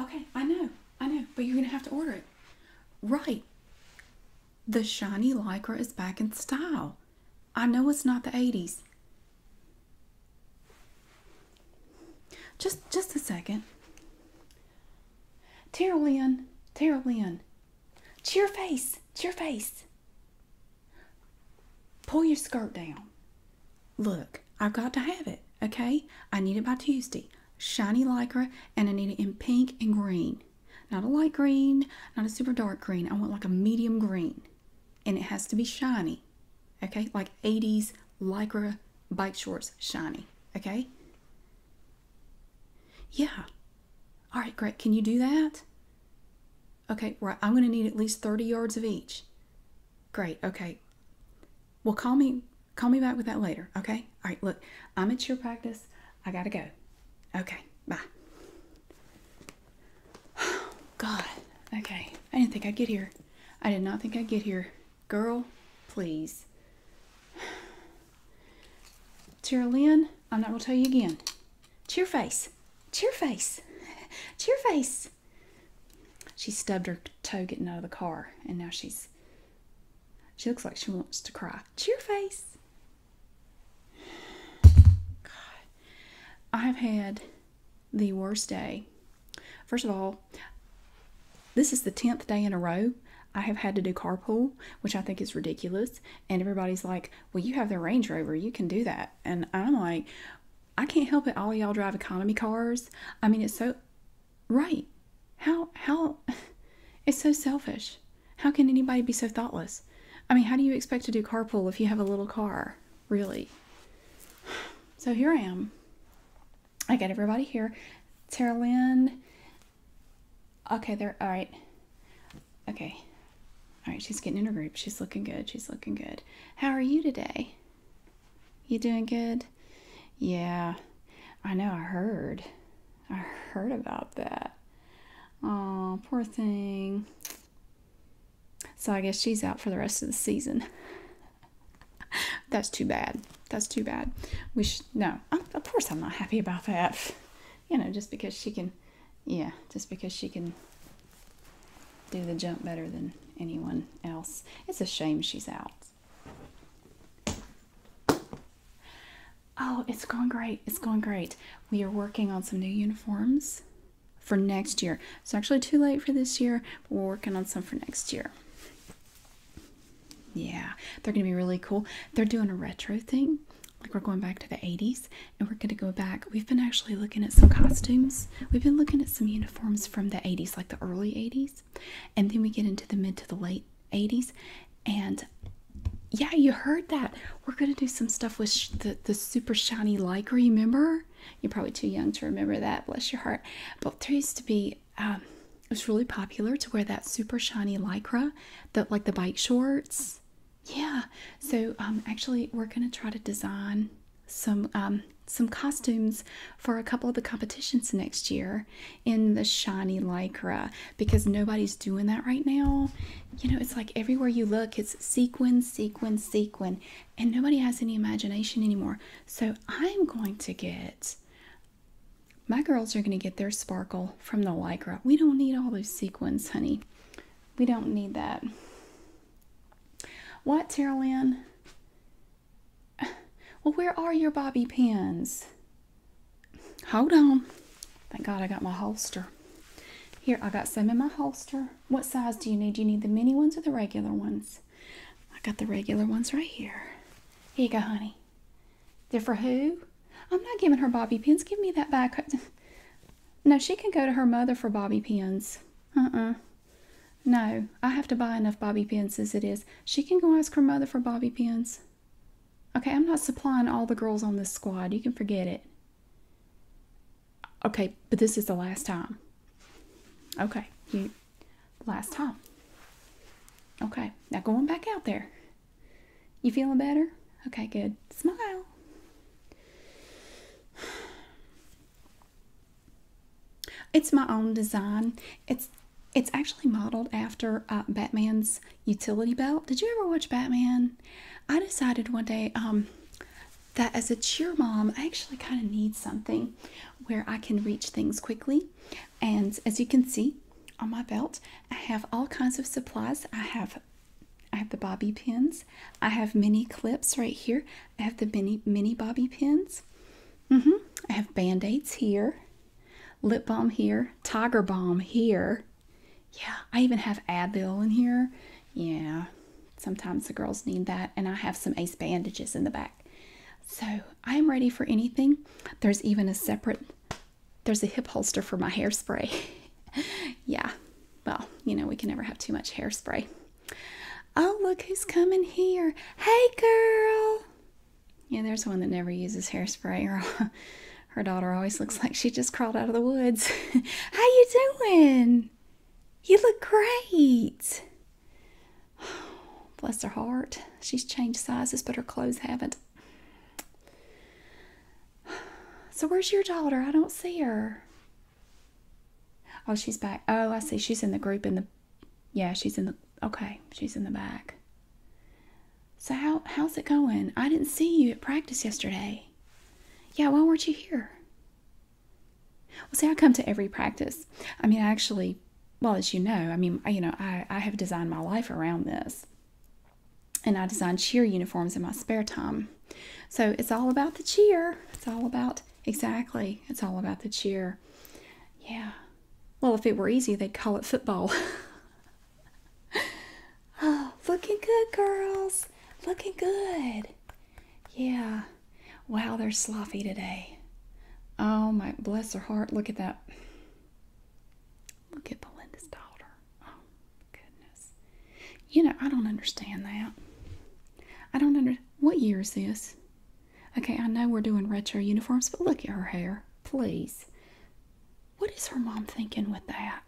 Okay, I know, I know, but you're gonna have to order it. Right. The shiny Lycra is back in style. I know it's not the 80s. Just just a second. Tara Lynn, Tara Lynn. Cheer face, cheer face. Pull your skirt down. Look, I've got to have it, okay? I need it by Tuesday. Shiny lycra, and I need it in pink and green. Not a light green, not a super dark green. I want like a medium green. And it has to be shiny, okay? Like 80s lycra bike shorts, shiny, okay? Yeah. All right, great. Can you do that? Okay, right. I'm going to need at least 30 yards of each. Great. Okay. Well, call me call me back with that later, okay? All right, look. I'm at your practice. I got to go. Okay. Bye. Oh, God. Okay. I didn't think I'd get here. I did not think I'd get here. Girl, please. Tara Lynn, I'm not going to tell you again. Cheer face. Cheer face. Cheer face she stubbed her toe getting out of the car and now she's she looks like she wants to cry. Cheer face. God. I've had the worst day. First of all, this is the 10th day in a row I have had to do carpool, which I think is ridiculous. And everybody's like, well, you have the Range Rover, you can do that. And I'm like, I can't help it. All y'all drive economy cars. I mean, it's so right. How how it's so selfish. How can anybody be so thoughtless? I mean, how do you expect to do carpool if you have a little car? Really? So here I am. I got everybody here. Tara Okay, they're all right. Okay, all right, she's getting in her group. She's looking good. She's looking good. How are you today? You doing good? Yeah, I know. I heard. I heard about that. Oh, poor thing. So I guess she's out for the rest of the season. That's too bad. That's too bad. We should, no, of course I'm not happy about that. You know, just because she can yeah, just because she can do the jump better than anyone else. It's a shame she's out. Oh, it's going great. It's going great. We are working on some new uniforms for next year. It's actually too late for this year, but we're working on some for next year. Yeah, they're going to be really cool. They're doing a retro thing. Like we're going back to the 80s and we're going to go back. We've been actually looking at some costumes. We've been looking at some uniforms from the 80s, like the early 80s, and then we get into the mid to the late 80s. And yeah, you heard that. We're going to do some stuff with the, the super shiny lycra, remember? You're probably too young to remember that, bless your heart. But there used to be, um, it was really popular to wear that super shiny lycra, that like the bike shorts. Yeah, so um, actually, we're gonna try to design some um, some costumes for a couple of the competitions next year in the shiny lycra because nobody's doing that right now. You know, it's like everywhere you look, it's sequin, sequin, sequin, and nobody has any imagination anymore. So I'm going to get. My girls are going to get their sparkle from the lycra. We don't need all those sequins, honey. We don't need that. What, Tara Lynn? Well, where are your bobby pins? Hold on. Thank God I got my holster. Here, I got some in my holster. What size do you need? you need the mini ones or the regular ones? I got the regular ones right here. Here you go, honey. They're for who? I'm not giving her bobby pins. Give me that back. No, she can go to her mother for bobby pins. Uh-uh. No, I have to buy enough bobby pins as it is. She can go ask her mother for bobby pins. Okay, I'm not supplying all the girls on this squad. You can forget it. Okay, but this is the last time. Okay, you last time. Okay, now going back out there. You feeling better? Okay, good. Smile. It's my own design. It's it's actually modeled after uh, Batman's utility belt. Did you ever watch Batman? I decided one day um, that as a cheer mom, I actually kind of need something where I can reach things quickly. And as you can see on my belt, I have all kinds of supplies. I have I have the bobby pins. I have mini clips right here. I have the mini mini bobby pins. -hmm. I have band-aids here, lip balm here, tiger balm here. Yeah, I even have Advil in here. Yeah, sometimes the girls need that. And I have some ace bandages in the back. So I'm ready for anything. There's even a separate, there's a hip holster for my hairspray. yeah, well, you know, we can never have too much hairspray. Oh, look who's coming here. Hey, girl. Yeah, there's one that never uses hairspray. Her, daughter always looks like she just crawled out of the woods. How you doing? You look great. Bless her heart. She's changed sizes, but her clothes haven't. So where's your daughter? I don't see her. Oh, she's back. Oh, I see. She's in the group in the Yeah, she's in the Okay, she's in the back. So how how's it going? I didn't see you at practice yesterday. Yeah, why weren't you here? Well, see, I come to every practice. I mean, I actually, well, as you know, I mean, you know, I, I have designed my life around this and I design cheer uniforms in my spare time. So it's all about the cheer. It's all about, exactly, it's all about the cheer. Yeah. Well, if it were easy, they'd call it football. oh, looking good, girls. Looking good. Yeah. Wow, they're sloppy today. Oh, my, bless her heart. Look at that. Look at Belinda's daughter. Oh, goodness. You know, I don't understand that. I don't under. What year is this? Okay, I know we're doing retro uniforms, but look at her hair. Please. What is her mom thinking with that?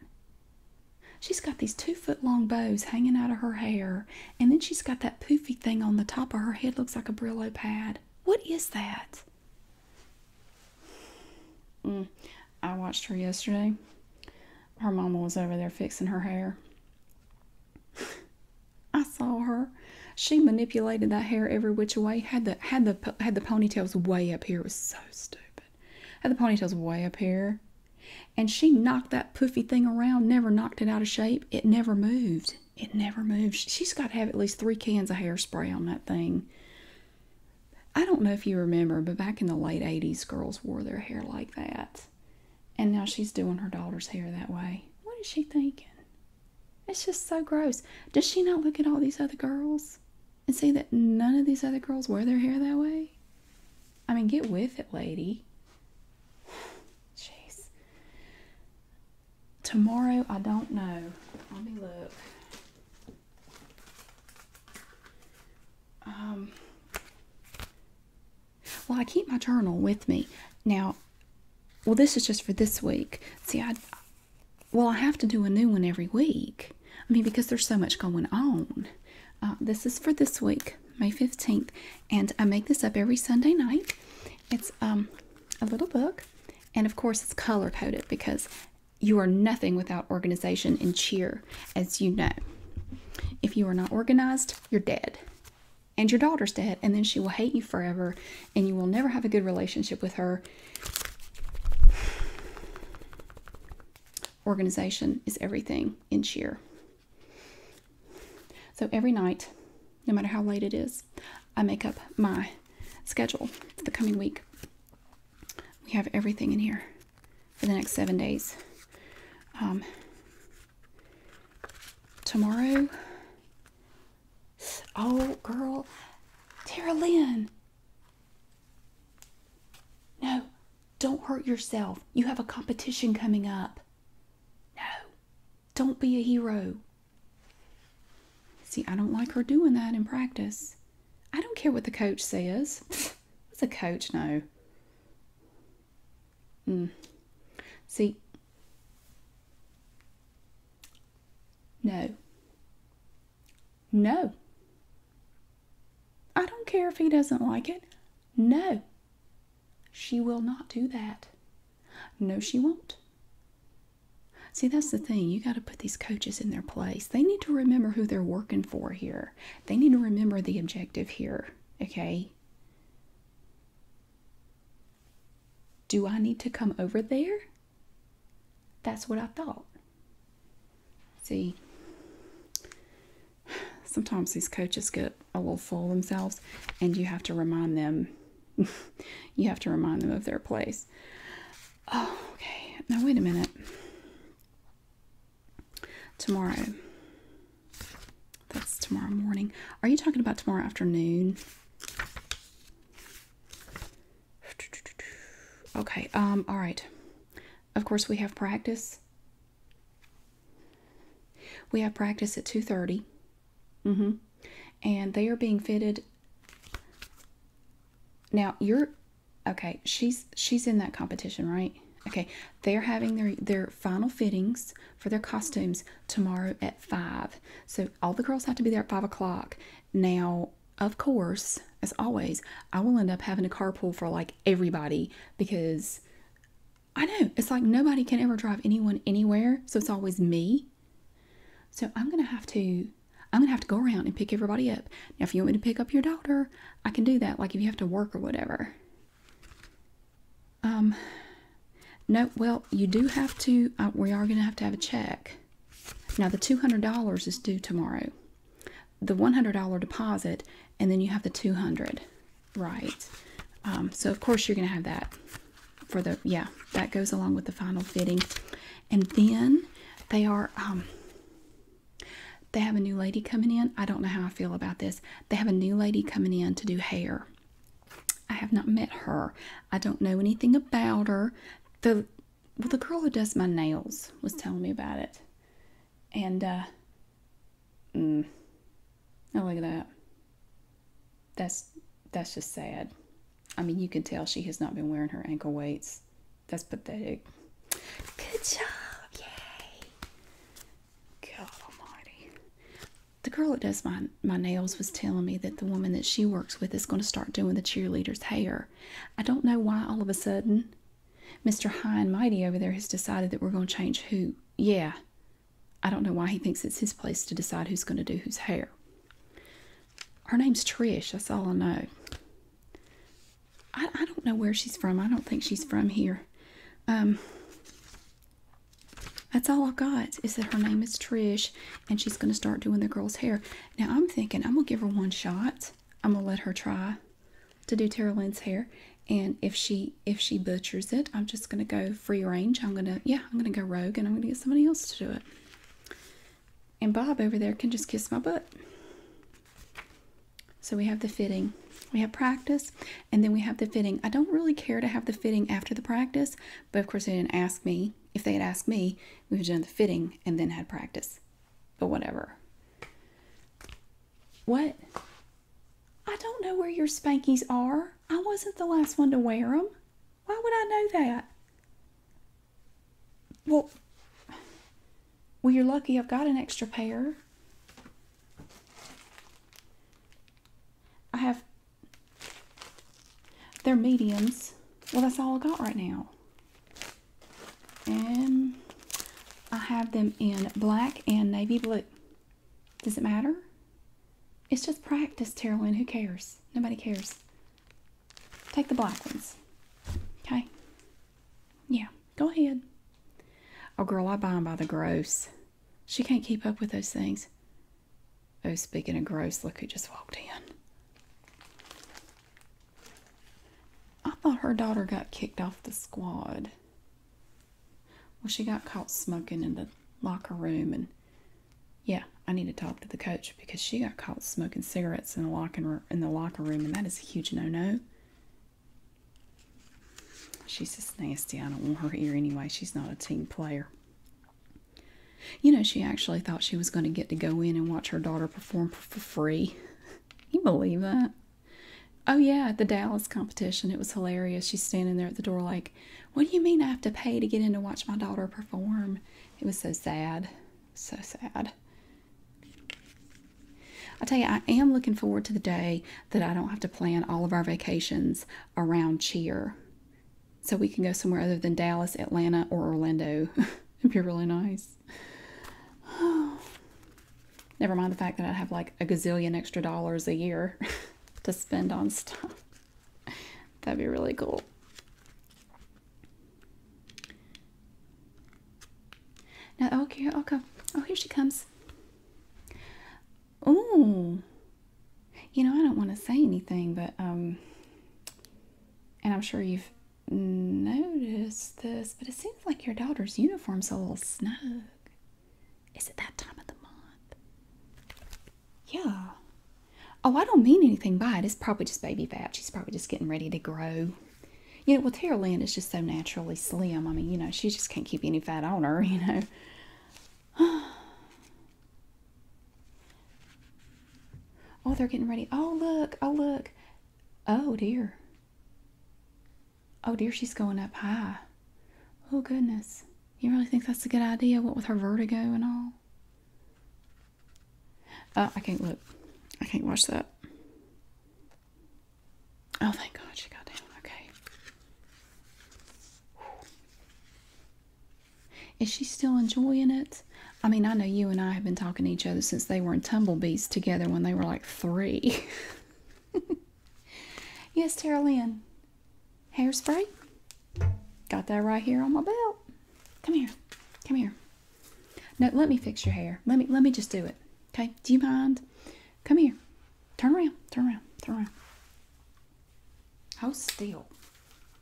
She's got these two foot long bows hanging out of her hair, and then she's got that poofy thing on the top of her head, looks like a Brillo pad. What is that? Mm. I watched her yesterday. Her mama was over there fixing her hair. I saw her. She manipulated that hair every which way. Had the had the had the ponytails way up here. It was so stupid. Had the ponytails way up here, and she knocked that poofy thing around. Never knocked it out of shape. It never moved. It never moved. She's got to have at least three cans of hairspray on that thing I don't know if you remember, but back in the late 80s, girls wore their hair like that. And now she's doing her daughter's hair that way. What is she thinking? It's just so gross. Does she not look at all these other girls and see that none of these other girls wear their hair that way? I mean, get with it, lady. Jeez. Tomorrow, I don't know. Let me look. Um, well, I keep my journal with me. Now, well, this is just for this week. See, I, well, I have to do a new one every week. I mean, because there's so much going on. Uh, this is for this week, May 15th, and I make this up every Sunday night. It's um, a little book, and of course, it's color coded because you are nothing without organization and cheer, as you know. If you are not organized, you're dead. And your daughter's dead, and then she will hate you forever, and you will never have a good relationship with her. Organization is everything in cheer. So every night, no matter how late it is, I make up my schedule for the coming week. We have everything in here for the next seven days. Um, tomorrow, oh girl, Tara Lynn. No, don't hurt yourself. You have a competition coming up. No, don't be a hero. See, I don't like her doing that in practice. I don't care what the coach says. What's a coach know? Mm. See, no. No. I don't care if he doesn't like it. No. She will not do that. No, she won't. See, that's the thing. You got to put these coaches in their place. They need to remember who they're working for here. They need to remember the objective here, okay? Do I need to come over there? That's what I thought. See, sometimes these coaches get a little full themselves and you have to remind them you have to remind them of their place Oh, okay. Now, wait a minute. Tomorrow. That's tomorrow morning. Are you talking about tomorrow afternoon? Okay, um, all right. Of course, we have practice. We have practice at 2.30. Mm-hmm. And they are being fitted. Now, you're Okay, she's she's in that competition, right? Okay, they're having their their final fittings for their costumes tomorrow at five. So all the girls have to be there at five o'clock. Now, of course, as always, I will end up having a carpool for like everybody because I know it's like nobody can ever drive anyone anywhere, so it's always me. So I'm gonna have to I'm gonna have to go around and pick everybody up. Now, if you want me to pick up your daughter, I can do that. Like if you have to work or whatever. Um, no, well, you do have to, uh, we are gonna have to have a check. Now, the $200 is due tomorrow. The $100 deposit, and then you have the 200 dollars Right. Um, so, of course, you're gonna have that for the, yeah, that goes along with the final fitting and then they are um they have a new lady coming in. I don't know how I feel about this. They have a new lady coming in to do hair. I have not met her. I don't know anything about her. The well, the girl who does my nails was telling me about it, and uh, mm, oh look at that. That's that's just sad. I mean, you can tell she has not been wearing her ankle weights. That's pathetic. Good job. Yay. God almighty. The girl that does my, my nails was telling me that the woman that she works with is going to start doing the cheerleader's hair. I don't know why all of a sudden Mr. High and Mighty over there has decided that we're going to change who. Yeah. I don't know why he thinks it's his place to decide who's going to do whose hair. Her name's Trish, that's all I know. I, don't know where she's from. I don't think she's from here. Um, that's all I got is that her name is Trish and she's going to start doing the girl's hair. Now I'm thinking I'm going to give her one shot. I'm going to let her try to do Tara Lynn's hair and if she if she butchers it, I'm just going to go free range. I'm going to yeah, I'm going to go rogue and I'm going to get somebody else to do it. And Bob over there can just kiss my butt. So we have the fitting. We have practice and then we have the fitting. I don't really care to have the fitting after the practice, but of course they didn't ask me. If they had asked me, we would have done the fitting and then had practice. But whatever. What? I don't know where your spankies are. I wasn't the last one to wear them. Why would I know that? Well, well, you're lucky I've got an extra pair. I have, they're mediums. Well, that's all I got right now. And I have them in black and navy blue. Does it matter? It's just practice, Terilyn. Who cares? Nobody cares. Take the black ones. Okay? Yeah, go ahead. Oh, girl, I buy 'em by the gross. She can't keep up with those things. Oh, speaking of gross, look who just walked in. I thought her daughter got kicked off the squad. Well, she got caught smoking in the locker room and yeah, I need to talk to the coach because she got caught smoking cigarettes in the locker room, and that is a huge no-no. She's just nasty. I don't want her here anyway. She's not a team player. You know, she actually thought she was going to get to go in and watch her daughter perform for free. you believe that? Oh, yeah, at the Dallas competition. It was hilarious. She's standing there at the door, like, What do you mean I have to pay to get in to watch my daughter perform? It was so sad. So sad. I tell you, I am looking forward to the day that I don't have to plan all of our vacations around cheer. So we can go somewhere other than Dallas, Atlanta, or Orlando. It'd be really nice. Never mind the fact that I'd have like a gazillion extra dollars a year to spend on stuff. That'd be really cool. Now, oh, okay, okay. Oh, here she comes. Ooh. You know, I don't want to say anything, but, um, and I'm sure you've noticed this, but it seems like your daughter's uniform's a little snug. Is it that time of the month? Yeah. Oh, I don't mean anything by it. It's probably just baby fat. She's probably just getting ready to grow. You know, well, Tara Lynn is just so naturally slim. I mean, you know, she just can't keep any fat on her, you know. Oh, they're getting ready. Oh, look. Oh, look. Oh, dear. Oh, dear. She's going up high. Oh, goodness. You really think that's a good idea? What with her vertigo and all? Uh, I can't look. I can't watch that. Oh, thank God she got down. Okay. Is she still enjoying it? I mean, I know you and I have been talking to each other since they were in Tumblebees together when they were like three. yes, Tara Lynn. Hairspray. Got that right here on my belt. Come here. Come here. No, let me fix your hair. Let me let me just do it. Okay? Do you mind? Come here. Turn around. Turn around. Turn around. Hold still.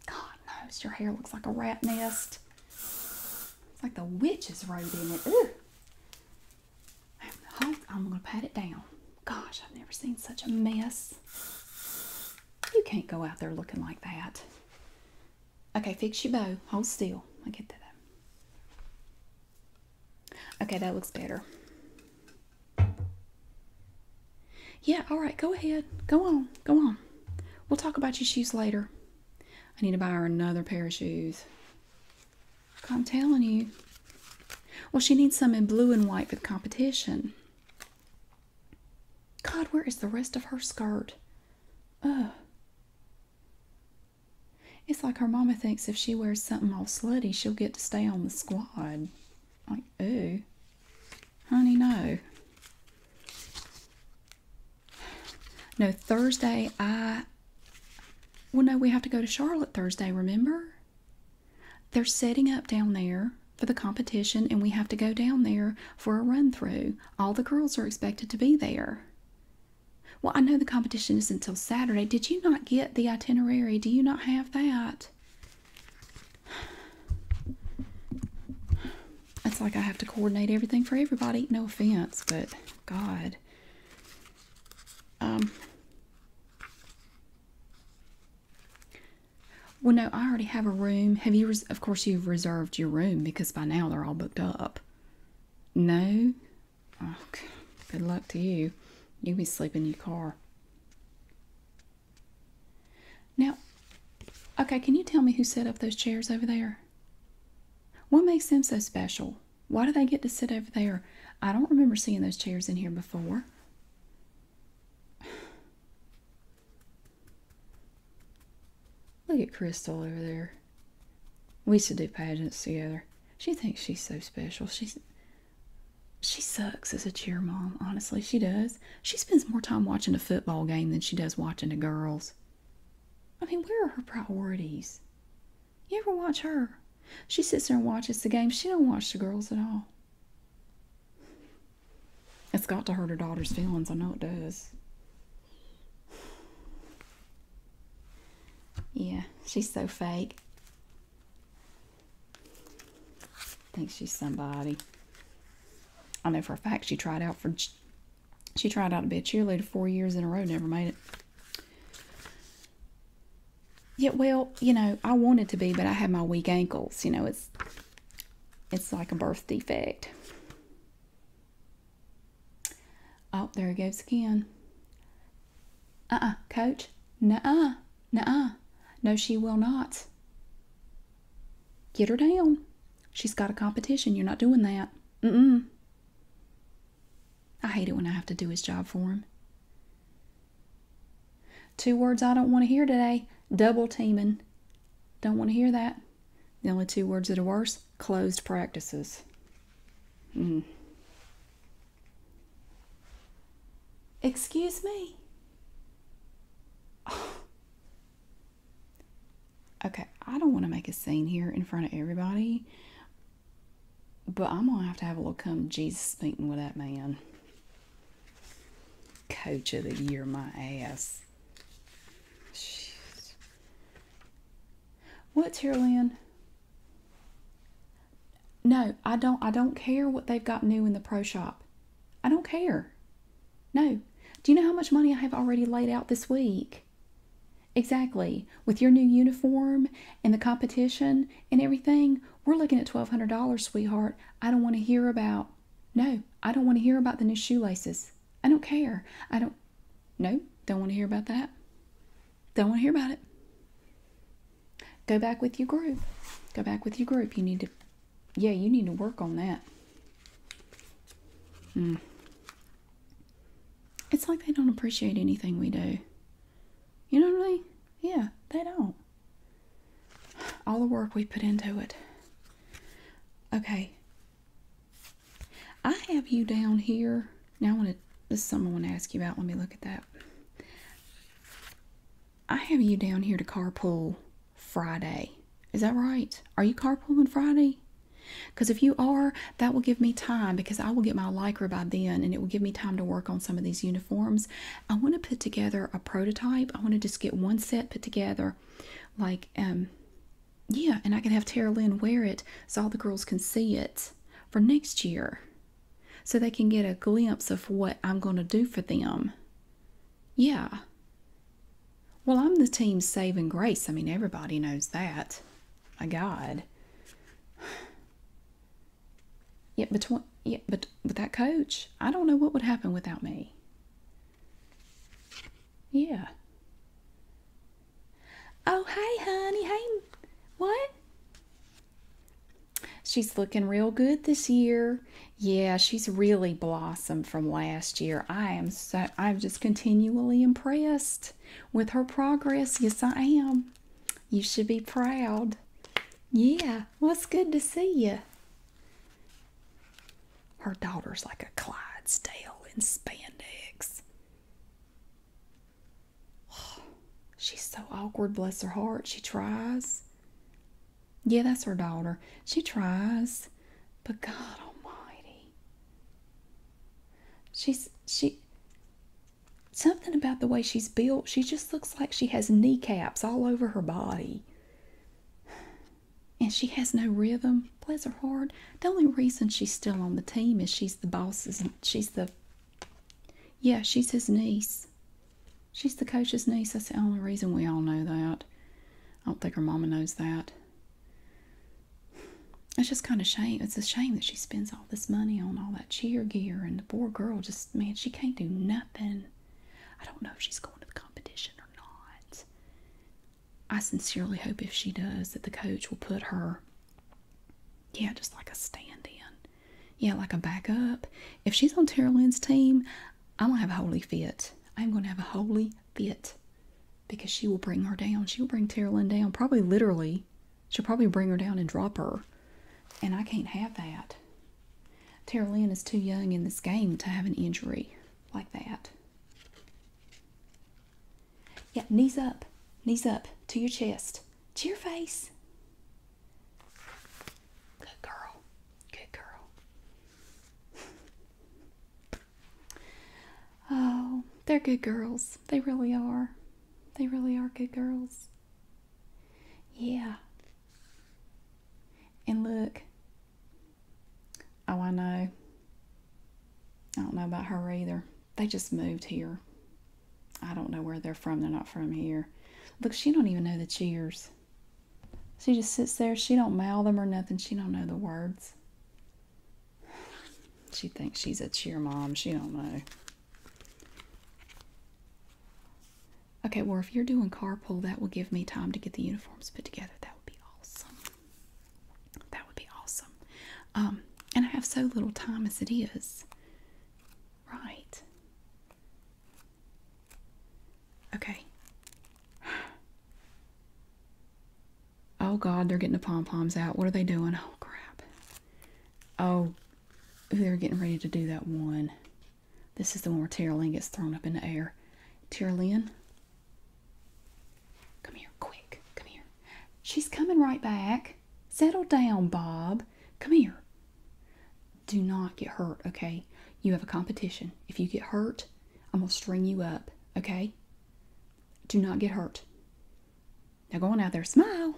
God knows your hair looks like a rat nest. It's like the witches rode in it. Ooh. I'm gonna pat it down. Gosh, I've never seen such a mess. You can't go out there looking like that. Okay, fix your bow. Hold still. I get that. Okay, that looks better. Yeah, all right, go ahead. Go on, go on. We'll talk about your shoes later. I need to buy her another pair of shoes. I'm telling you. Well, she needs some in blue and white for the competition. God, where is the rest of her skirt? Ugh. It's like her mama thinks if she wears something all slutty, she'll get to stay on the squad. Like, ooh. Honey, no. No, Thursday, I. Well, no, we have to go to Charlotte Thursday, remember? They're setting up down there for the competition, and we have to go down there for a run through. All the girls are expected to be there. Well, I know the competition is not until Saturday. Did you not get the itinerary? Do you not have that? It's like I have to coordinate everything for everybody. No offense, but God. Um, well, no, I already have a room. Have you, of course, you've reserved your room because by now they're all booked up. No? Oh, good luck to you. You'll be sleeping in your car. Now, okay, can you tell me who set up those chairs over there? What makes them so special? Why do they get to sit over there? I don't remember seeing those chairs in here before. Look at Crystal over there. We used to do pageants together. She thinks she's so special. She's she sucks as a cheer mom, honestly, she does. She spends more time watching a football game than she does watching the girls. I mean, where are her priorities? You ever watch her? She sits there and watches the game. She don't watch the girls at all. It's got to hurt her daughter's feelings. I know it does. Yeah, she's so fake. Thinks she's somebody. I know for a fact she tried out for she tried out to be a cheerleader four years in a row, never made it. Yeah, well, you know, I wanted to be, but I have my weak ankles. You know, it's it's like a birth defect. Oh, there he goes again. Uh-uh, coach. Nuh-uh. Nuh-uh. No, she will not. Get her down. She's got a competition. You're not doing that. Mm-mm. I hate it when I have to do his job for him. Two words I don't want to hear today double teaming. Don't want to hear that. The only two words that are worse closed practices. Mm. Excuse me. Okay, I don't want to make a scene here in front of everybody, but I'm going to have to have a little come Jesus meeting with that man. Coach of the year, my ass. Jeez. What's here, Lynn? No, I don't. I don't care what they've got new in the pro shop. I don't care. No. Do you know how much money I have already laid out this week? Exactly. With your new uniform and the competition and everything, we're looking at $1,200, sweetheart. I don't want to hear about, no, I don't want to hear about the new shoelaces. I don't care. I don't, no, don't want to hear about that. Don't want to hear about it. Go back with your group. Go back with your group. You need to, yeah, you need to work on that. Mm. It's like they don't appreciate anything we do. You don't really. Yeah, they don't. All the work we put into it. Okay. I have you down here. Now I want to, this is something I want to ask you about. Let me look at that. I have you down here to carpool Friday. Is that right? Are you carpooling Friday? Because if you are, that will give me time because I will get my Lycra by then and it will give me time to work on some of these uniforms I want to put together a prototype. I want to just get one set put together, like um, yeah, and I can have Tara Lynn wear it so all the girls can see it for next year, so they can get a glimpse of what I'm going to do for them. Yeah. Well, I'm the team's saving grace. I mean, everybody knows that. My God. Yet between yet but with that coach, I don't know what would happen without me. Yeah. Oh, hey, honey. Hey, what? She's looking real good this year. Yeah, she's really blossomed from last year. I am so, I'm just continually impressed with her progress. Yes, I am. You should be proud. Yeah, well, it's good to see you. Her daughter's like a Clydesdale in spandex. she's so awkward, bless her heart. She tries. Yeah, that's her daughter. She tries. But God almighty. She's she something about the way she's built, she just looks like she has kneecaps all over her body. And she has no rhythm. Bless her heart. The only reason she's still on the team is she's the boss's. She's the. Yeah, she's his niece. She's the coach's niece. That's the only reason we all know that. I don't think her mama knows that. It's just kind of shame. It's a shame that she spends all this money on all that cheer gear, and the poor girl just, man, she can't do nothing. I don't know if she's going to the competition or not. I sincerely hope if she does that the coach will put her, yeah, just like a stand in. Yeah, like a backup. If she's on Tara Lynn's team, I'm going to have a holy fit. I'm going to have a holy fit because she will bring her down. She will bring Tara Lynn down, probably literally She'll probably bring her down and drop her. And I can't have that. Tara Lynn is too young in this game to have an injury like that. Yeah, knees up. Knees up to your chest. To your face. Good girl. Good girl. oh, they're good girls. They really are. They really are good girls. Yeah. And look, oh, I know. I don't know about her either. They just moved here. I don't know where they're from. They're not from here. Look, she don't even know the cheers. She just sits there. She don't mouth them or nothing. She don't know the words. She thinks she's a cheer mom. She don't know. Okay, well, if you're doing carpool, that will give me time to get the uniforms put together. That would be awesome. That would be awesome. Um, and I have so little time as it is. Right. Okay. Oh, God, they're getting the pom poms out. What are they doing? Oh, crap. Oh, they're getting ready to do that one. This is the one where Tara gets thrown up in the air. Tara come here, quick, come here. She's coming right back. Settle down, Bob. Come here. Do not get hurt, okay? You have a competition. If you get hurt, I'm going to string you up, okay? Do not get hurt. Now go on out there, smile.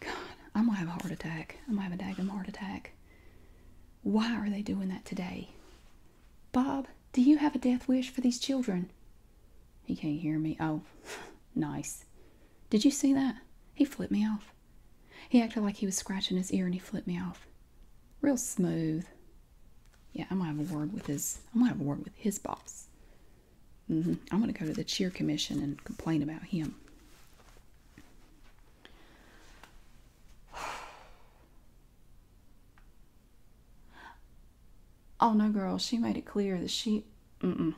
God, I'm gonna have a heart attack. I'm gonna have a daggum heart attack. Why are they doing that today? Bob, do you have a death wish for these children? He can't hear me. Oh, nice. Did you see that? He flipped me off. He acted like he was scratching his ear and he flipped me off. Real smooth. Yeah, I'm gonna have a word with his I'm gonna have a word with his boss. Mm-hmm. I'm going to go to the cheer commission and complain about him. Oh no, girl, she made it clear that she. Mm -mm.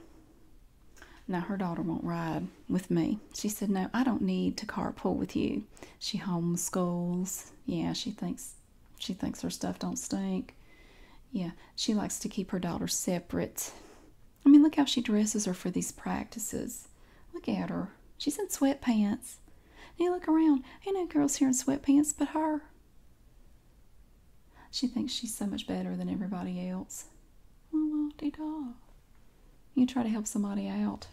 Now her daughter won't ride with me. She said, No, I don't need to carpool with you. She homeschools. Yeah, she thinks she thinks her stuff don't stink. Yeah, she likes to keep her daughter separate. I mean, look how she dresses her for these practices. Look at her. She's in sweatpants. you look around, ain't no girls here in sweatpants but her. She thinks she's so much better than everybody else. Well, de da. You try to help somebody out.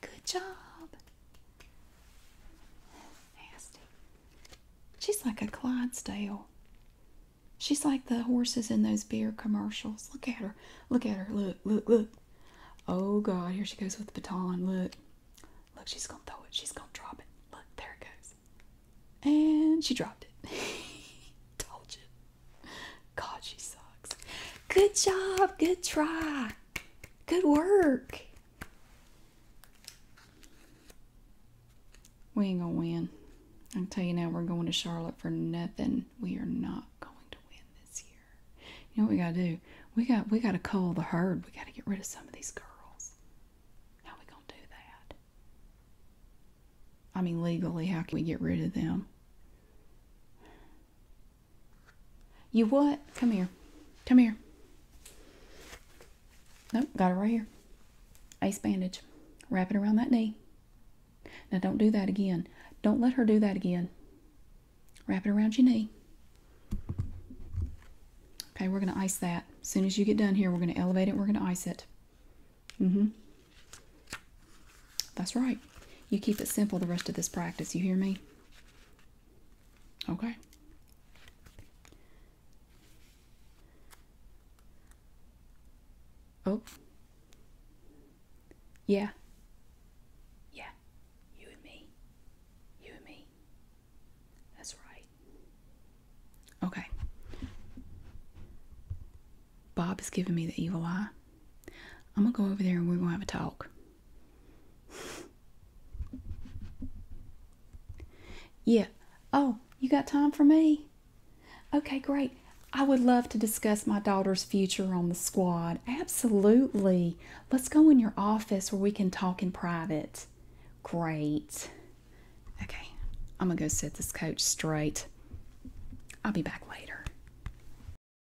Good job. Nasty. She's like a Clydesdale. She's like the horses in those beer commercials. Look at her. Look at her. Look, look, look. Oh God, here she goes with the baton. Look. Look, she's gonna throw it. She's gonna drop it. Look, there it goes. And she dropped it. Told you. God, she sucks. Good job. Good try. Good work. We ain't gonna win. I can tell you now, we're going to Charlotte for nothing. We are not going to win this year. You know what we gotta do? We got we gotta cull the herd. We gotta get rid of some of these girls. How we gonna do that? I mean, legally, how can we get rid of them? You what? Come here. Come here. Nope, got it right here. Ace bandage. Wrap it around that knee. Now don't do that again. Don't let her do that again. Wrap it around your knee. Okay, we're going to ice that. As soon as you get done here, we're going to elevate it. We're going to ice it. Mm-hmm. That's right. You keep it simple the rest of this practice. You hear me? Okay. Oh. Yeah. Yeah. You and me. You and me. That's right. Okay. Bob has given me the evil eye. I'm going to go over there and we're going to have a talk yeah. Oh, you got time for me? Okay, great. I would love to discuss my daughter's future on the squad. Absolutely. Let's go in your office where we can talk in private. Great. Okay, I'm gonna go set this coach straight. I'll be back later.